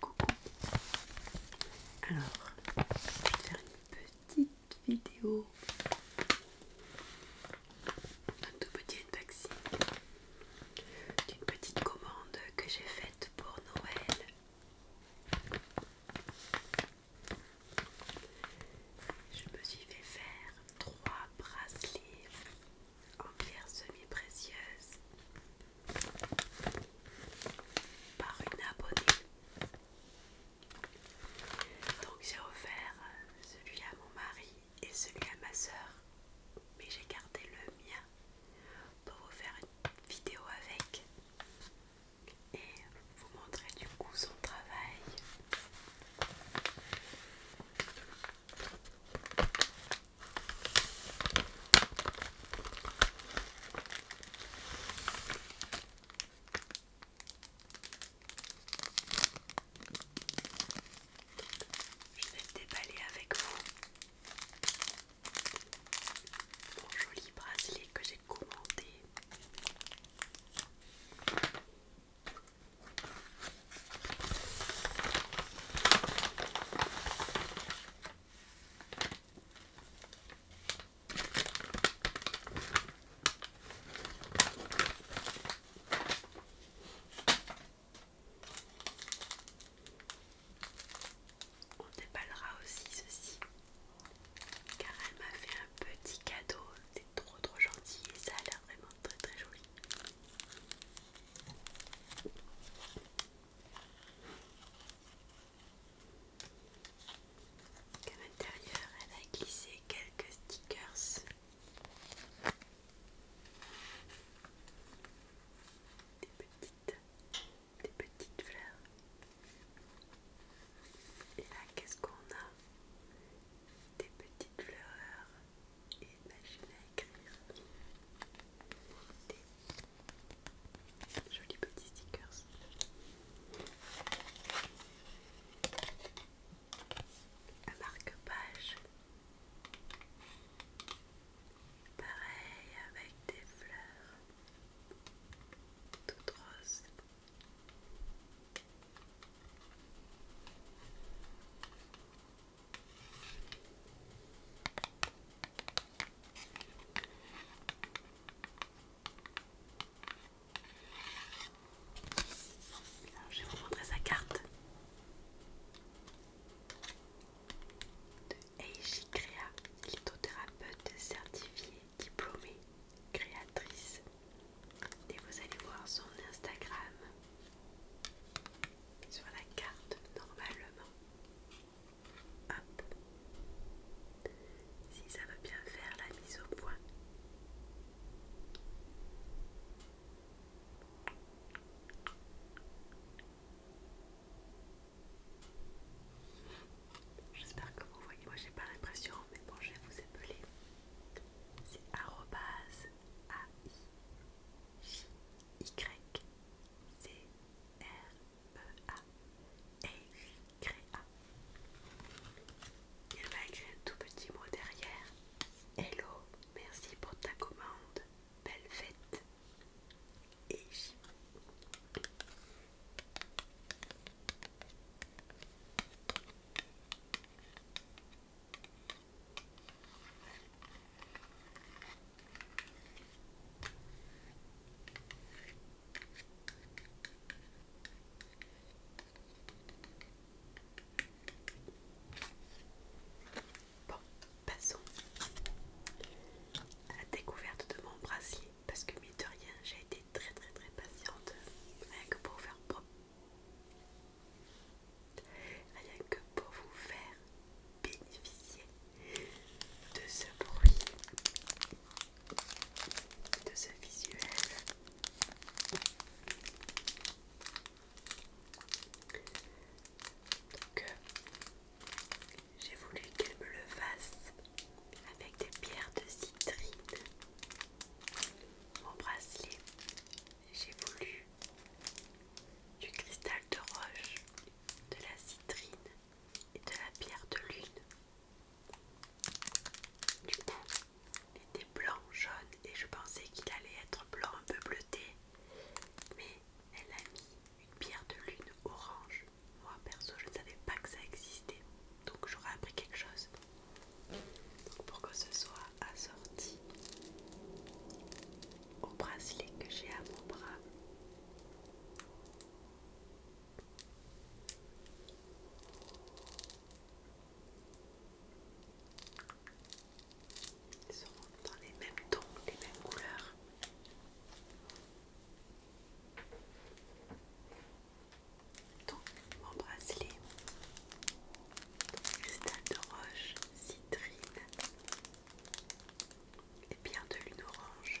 Coucou. Alors, je vais faire une petite vidéo, d'un tout petit unboxing d'une petite commande que j'ai faite pour Noël. Je me suis fait faire trois bracelets en pierre semi-précieuse par une abonnée. Donc j'ai offert euh, celui à mon mari et celui à ma soeur, mais j'ai gardé le mien pour vous faire une vidéo avec et vous montrer du coup son travail. Je vais déballer avec vous. Mon joli bracelet que j'ai commandé. On déballera aussi ceci car elle m'a fait un petit cadeau, c'est trop trop gentil et ça a l'air vraiment très très joli. Qu'à l'intérieur, elle a glissé quelques stickers. Des petites, des petites fleurs. Et là, qu'est-ce qu'on a Des petites fleurs Imaginez à écrire, des jolis petits stickers. Un marque-page, pareil avec des fleurs toutes roses je vais vous montrer sa carte de Eiji CREA, lithothérapeute certifiée, diplômée, créatrice. Et vous allez voir son Instagram sur la carte normalement. Hop. Si ça veut bien faire la mise au point. J'espère que vous voyez. Moi, j'ai pas l'impression, mais bon, je vais vous appeler. C'est arrobase y-C-R-E-A. A. Il va écrire un tout petit mot derrière. Hello, merci pour ta commande. Belle fête. Et Bon, passons à la découverte de mon brasier parce que mais rien j'ai été très très très patiente rien que pour faire propre rien que pour vous faire bénéficier de ce bruit, de ce visuel. Donc, euh, j'ai voulu qu'elle me le fasse avec des pierres de citrine. Mon bracelet, j'ai voulu du cristal de roche, de la citrine et de la pierre de lune. Du coup, il était blanc, jaune et je pensais qu'il allait être blanc un peu bleuté. Mais elle a mis une pierre de lune orange. Moi perso, je ne savais pas que ça existait. Donc j'aurais appris quelque chose. Donc pour ce soit assorti au bracelet que j'ai à mon bras. Ils sont dans les mêmes tons, les mêmes couleurs. Donc mon bracelet, cristal de roche, citrine, et bien de lune orange.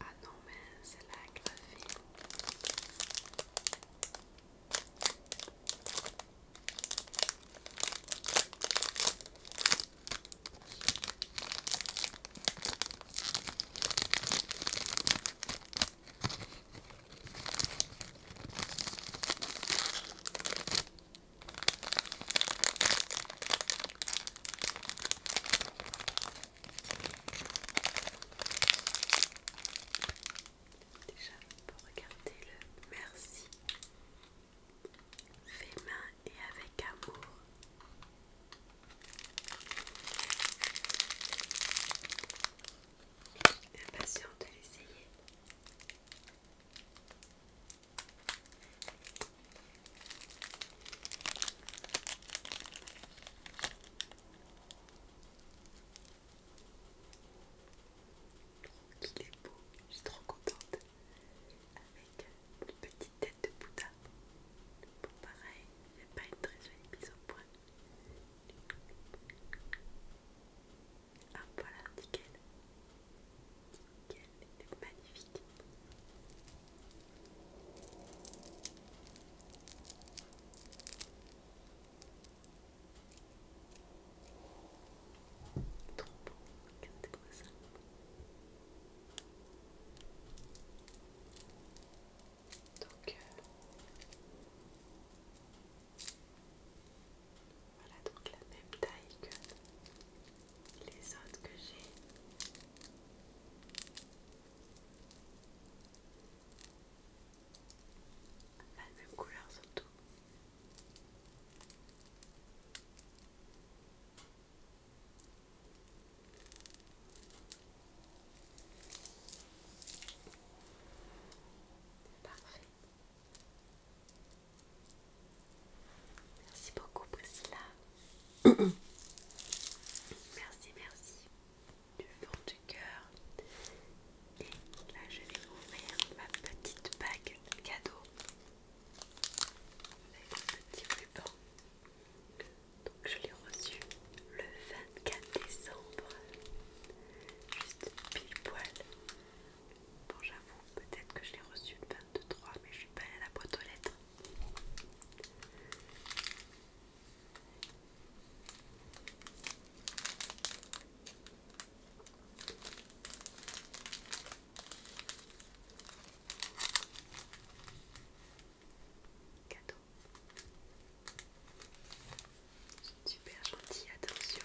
Ah non, mais c'est la graphie. Déjà, pour regarder le merci, fait main et avec amour. Impatiente de l'essayer qu'il est beau, je suis trop contente avec une petite tête de Bouddha. Bon pareil, j'ai pas une très jolie mise au point. Ah voilà, nickel. Nickel, est magnifique. Trop beau, Donc, euh, voilà donc la même taille que les autres que j'ai. La même couleur surtout. Parfait. Merci beaucoup Priscilla merci, merci du fond du cœur. Et là, je vais ouvrir ma petite bague cadeau avec un petit ruban. Donc, je l'ai reçu le 24 décembre, juste pile poil. Bon, j'avoue, peut-être que je l'ai reçu le 23, mais je suis pas allée à la boîte aux lettres. Super gentil, attention.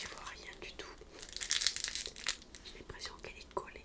ne voit rien du tout. J'ai l'impression qu'elle est collée.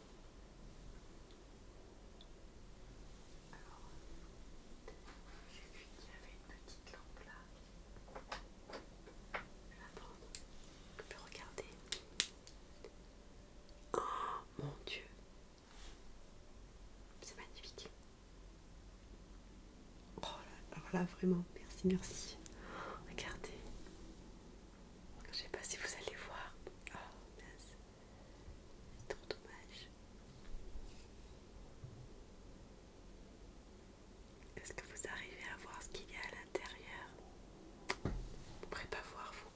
Alors, j'ai vu qu'il y avait une petite lampe là. Je vais prendre, Je peux regarder. Oh mon dieu! C'est magnifique! Oh là, là, vraiment, merci, merci. Regardez, je sais pas si vous allez voir. Oh mince, c'est trop dommage. Est-ce que vous arrivez à voir ce qu'il y a à l'intérieur Vous ne pourrez pas voir vous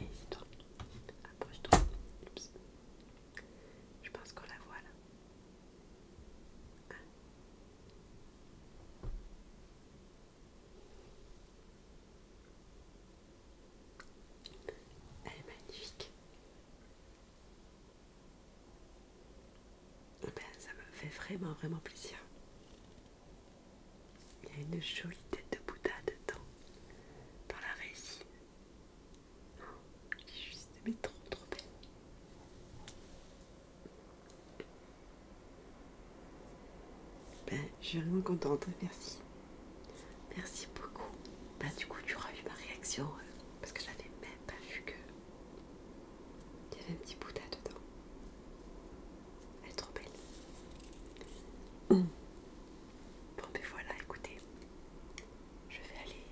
ici toi. Approche-toi. Je pense qu'on la voit là. Hein. Elle est magnifique. Eh ben, ça me fait vraiment vraiment plaisir. Il y a une jolie tête de Bouddha dedans, dans la résine. juste mais trop trop belle. Ben, je suis vraiment contente, merci. Merci beaucoup. Bah du coup tu auras vu ma réaction, euh, parce que j'avais même pas vu que il y avait un petit Bouddha dedans. Elle est trop belle. Hum. Bon, mais ben voilà, écoutez, je vais aller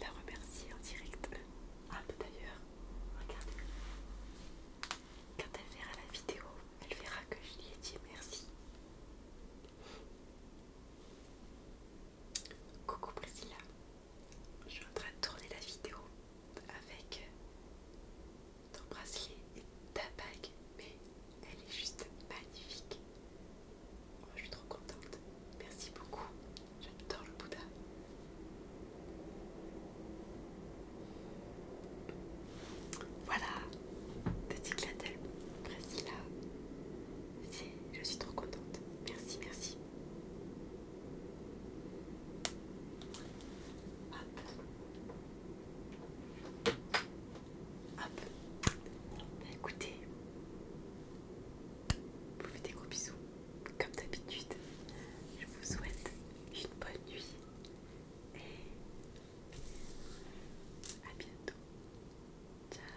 la remercier en direct. Ah, bah, d'ailleurs, regardez. Quand elle verra la vidéo, elle verra que je lui ai dit merci. Coucou Priscilla, je suis en train de tourner la vidéo avec ton bracelet et ta bague, mais elle est juste magnifique. Oh, je suis trop contente. Merci beaucoup. J'adore le Bouddha. Voilà, petite clin bracelet Priscilla. Je suis trop contente. Merci, merci. Hop. Hop. Bah, écoutez, vous faites des gros bisous, comme d'habitude. Je vous souhaite une bonne nuit et à bientôt. Ciao.